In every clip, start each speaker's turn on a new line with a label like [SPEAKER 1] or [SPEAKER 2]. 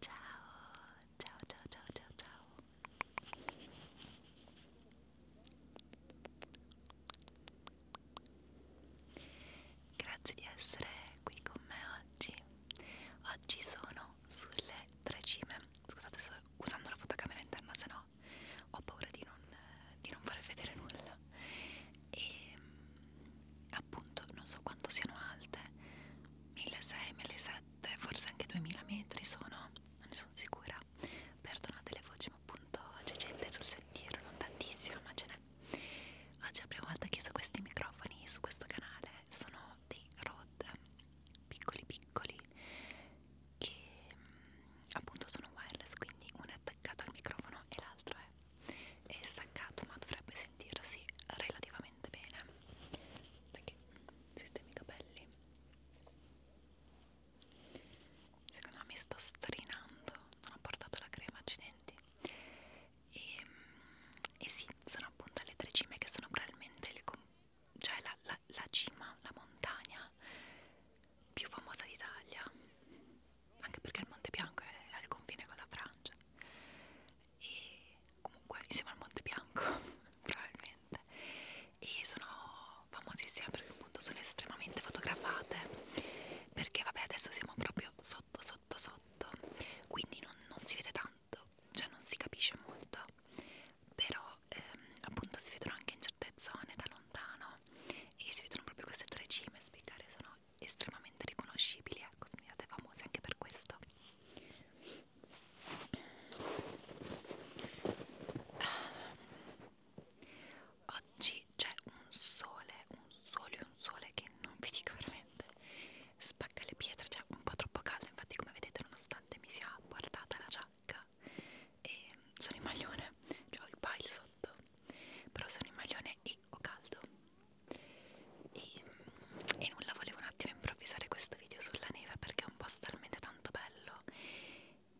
[SPEAKER 1] Ciao, ciao, ciao, ciao, ciao, ciao. Grazie di essere qui con me oggi. Oggi sono sulle tre cime. Scusate, sto usando la fotocamera interna, se no ho paura di non, di non far vedere nulla. E ehm, appunto non so quanto siano alte 1600-1700 forse anche 2000 metri sono non ne sono sicura perdonate le voci ma appunto c'è gente sul sentiero non tantissima ma ce n'è oggi è la prima volta che uso questi microfoni su questo canale sono dei Rode piccoli piccoli che mm, appunto sono wireless quindi uno è attaccato al microfono e l'altro è è staccato ma dovrebbe sentirsi relativamente bene perché sistemi i capelli secondo me mi sto strinando non ho portato la crema accidenti e, e sì sono appunto alle tre cime che sono probabilmente il, cioè la, la, la cima la montagna più famosa d'Italia anche perché il Monte Bianco è al confine con la Francia e comunque insieme al Monte Bianco probabilmente e sono famosissime perché appunto sono estremamente fotografate perché vabbè adesso siamo proprio sotto sotto sotto quindi non, non si vede tanto cioè non si capisce molto però ehm, appunto si vedono anche in certe zone da lontano e si vedono proprio queste tre cime spiccare sono sono estremamente riconoscibili, ecco, sono famosi anche per questo. Oggi c'è un sole, un sole, un sole che non vi dico veramente spacca le pietre, c'è un po' troppo caldo, infatti come vedete nonostante mi sia portata la giacca e ehm, sono in maglione, cioè ho il pile sotto, però sono in maglione e o caldo e, e nulla volevo un attimo improvvisare questo video sulla neve perché è un posto talmente tanto bello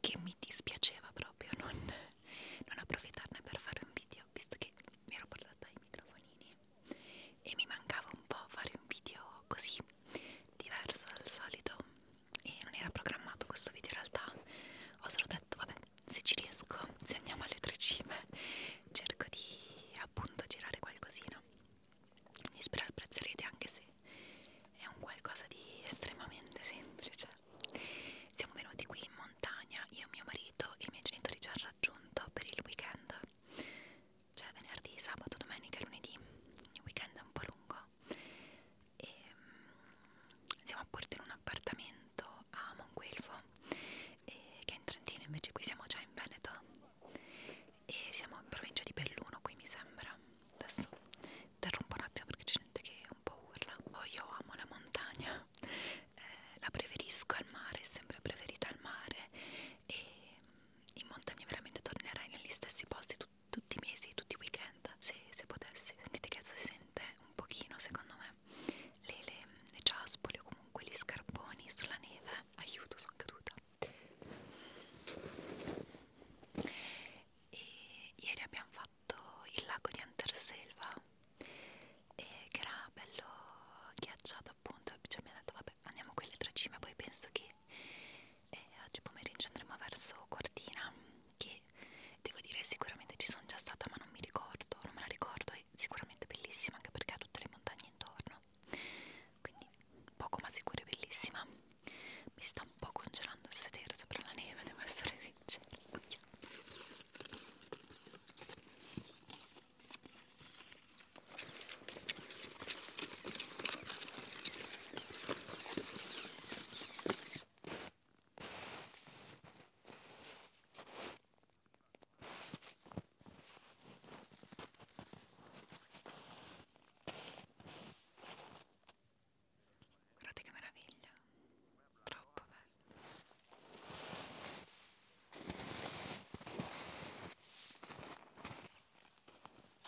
[SPEAKER 1] che mi dispiaceva proprio non, non approfittarne per fare un video visto che mi ero portata i microfonini e mi mancava un po' fare un video così diverso dal solito e non era programmato questo video in realtà ho solo detto vabbè se ci riesco, se andiamo alle tre cime, cerco di appunto girare qualcosina. Quindi spero apprezzerete anche se è un qualcosa di estremamente semplice. Siamo venuti qui in montagna, io, mio marito e i miei genitori ci hanno raggiunto per il weekend, cioè venerdì, sabato, domenica e lunedì. Il weekend è un po' lungo e ehm, siamo appunto in un appartamento a Monguelvo e, eh, che è in Trentino invece qui siamo già in Veneto e siamo in provincia di Belluno qui mi sembra adesso interrompo un attimo perché c'è gente che un po' urla oh io amo la montagna eh, la preferisco al mare è sempre preferita al mare e in montagna veramente tornerai negli stessi posti tutti i mesi, tutti i weekend se, se potessi sentite che adesso si sente presente un pochino secondo me le, le, le ciaspole o comunque gli scarponi sulla neve aiuto sono caduta e ieri abbiamo fatto il lago di Anterselva e eh, che era bello ghiacciato appunto e cioè, mi ha detto vabbè andiamo qui alle tre cime poi penso che eh, oggi pomeriggio andremo verso Cortina che devo dire sicuramente ci sono già stata ma non mi ricordo, non me la ricordo, è sicuramente bellissima anche perché ha tutte le montagne intorno, quindi poco ma sicuro è bellissima. Mi sta un po' congelando il sedere sopra la neve, devo essere sincera. Guardate che meraviglia, troppo bello.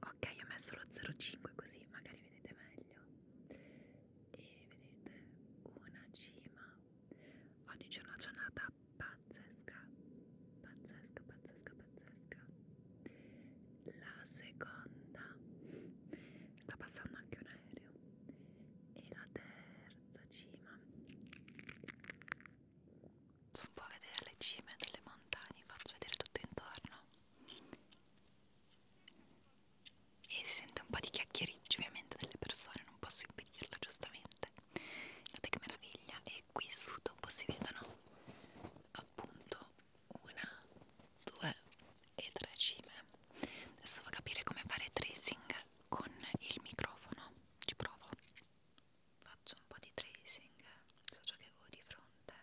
[SPEAKER 1] Ok, ho messo lo 05 così magari vedete meglio. E vedete una cima. Oggi c'è una giornata pazzesca, pazzesca, pazzesca, pazzesca. La seconda sta passando anche un aereo e la terza cima posso un po' vedere le cime delle montagne faccio vedere tutto intorno e si sente un po' di chiacchiericcio ovviamente delle persone non posso impedirla giustamente guardate che meraviglia e qui su dopo si vedono appunto una, due, e tre cime adesso devo capire come fare tracing con il microfono ci provo faccio un po' di tracing so ciò che avevo di fronte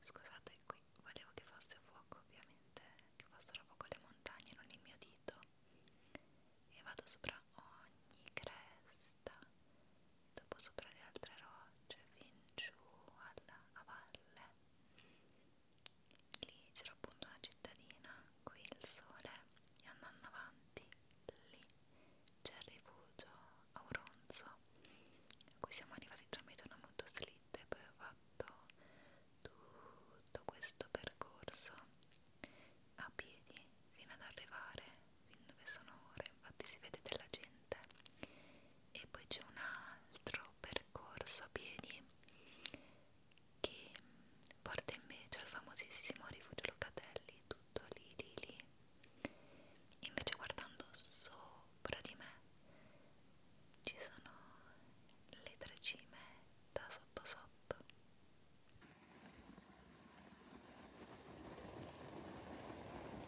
[SPEAKER 1] scusate qui volevo che fosse a fuoco ovviamente che fossero a fuoco le montagne non il mio dito e vado sopra ogni cresta e dopo sopra le altre rocce fin giù alla, a valle lì c'era appunto una cittadina, qui il sole e andando avanti lì c'è il rifugio Auronzo a cui siamo arrivati tramite una motoslitta e poi ho fatto tutto questo percorso a piedi fino ad arrivare fin dove sono ora infatti si vede della gente e poi c'è un altro percorso a piedi che porta invece al famosissimo rifugio Locatelli tutto lì lì lì invece guardando sopra di me ci sono le tre cime da sotto sotto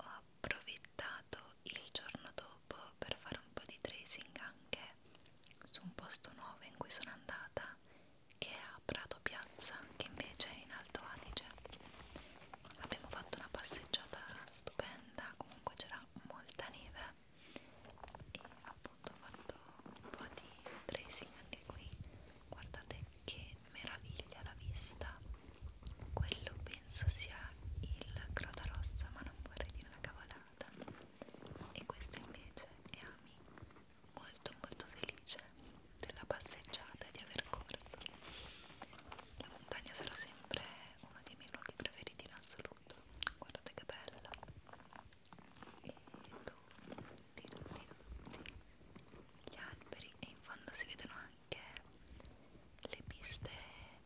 [SPEAKER 1] ho approfittato il giorno dopo per fare un po' di tracing anche su un posto nuovo in cui sono andata che è a Prato Piazza che invece è in Alto Adige abbiamo fatto una passeggiata stupenda comunque c'era molta neve e appunto ho fatto un po' di tracing anche qui guardate che meraviglia la vista quello penso sia il crota rossa ma non vorrei dire una cavolata e questo invece è Ami molto molto felice della passeggiata e di aver corso la montagna sarà sempre uno dei miei luoghi preferiti in assoluto guardate che bella e tu tutti, tutti, tutti gli alberi e in fondo si vedono anche le piste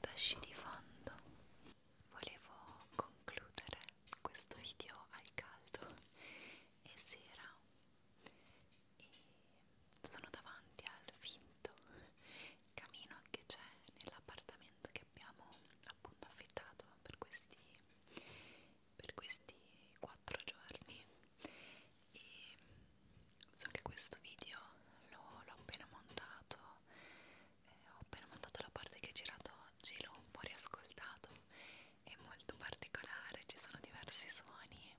[SPEAKER 1] da sci di fondo. Volevo concludere questo video al caldo e sera e sono davanti al finto camino che c'è nell'appartamento che abbiamo appunto affittato per questi per questi 4 giorni e so che questo video l'ho appena montato eh, ho appena montato la parte che ho girato oggi l'ho un po' riascoltato è molto particolare ci sono diversi suoni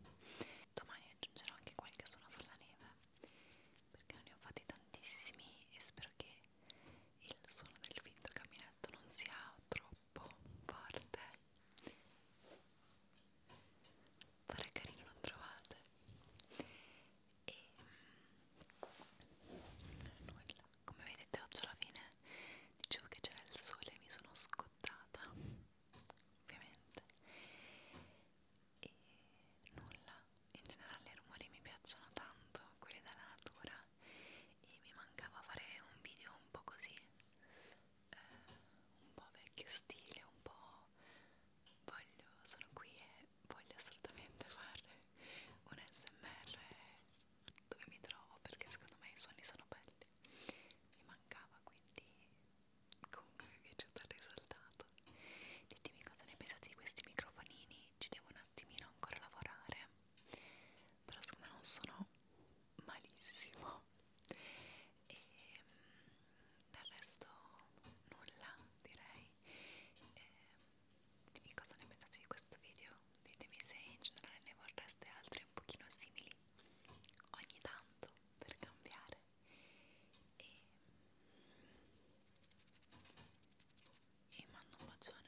[SPEAKER 1] domani aggiungerò anche qualche suono sulla neve perché non ne ho fatti tantissimi e spero che il suono del vinto camminetto non sia troppo troppo forte pare carino non trovate e mm, nulla come vedete oggi alla fine dicevo che c'era il sole e mi sono scottata ovviamente e nulla in generale i rumori mi piacciono tanto quelli della natura e mi mancava fare un video un po' così eh, un po' vecchio stile un po' voglio sono qui e voglio assolutamente fare un smr dove mi trovo perché secondo me i suoni sono belli mi mancava quindi comunque mi è piaciuto il risultato ditemi cosa ne pensate di questi microfonini ci devo un attimino ancora lavorare però siccome non sono malissimo e mm, del resto nulla direi e, ditemi cosa ne pensate di questo video ditemi se in generale ne vorreste altri un pochino simili ogni tanto per cambiare e vi mm, mando un bacione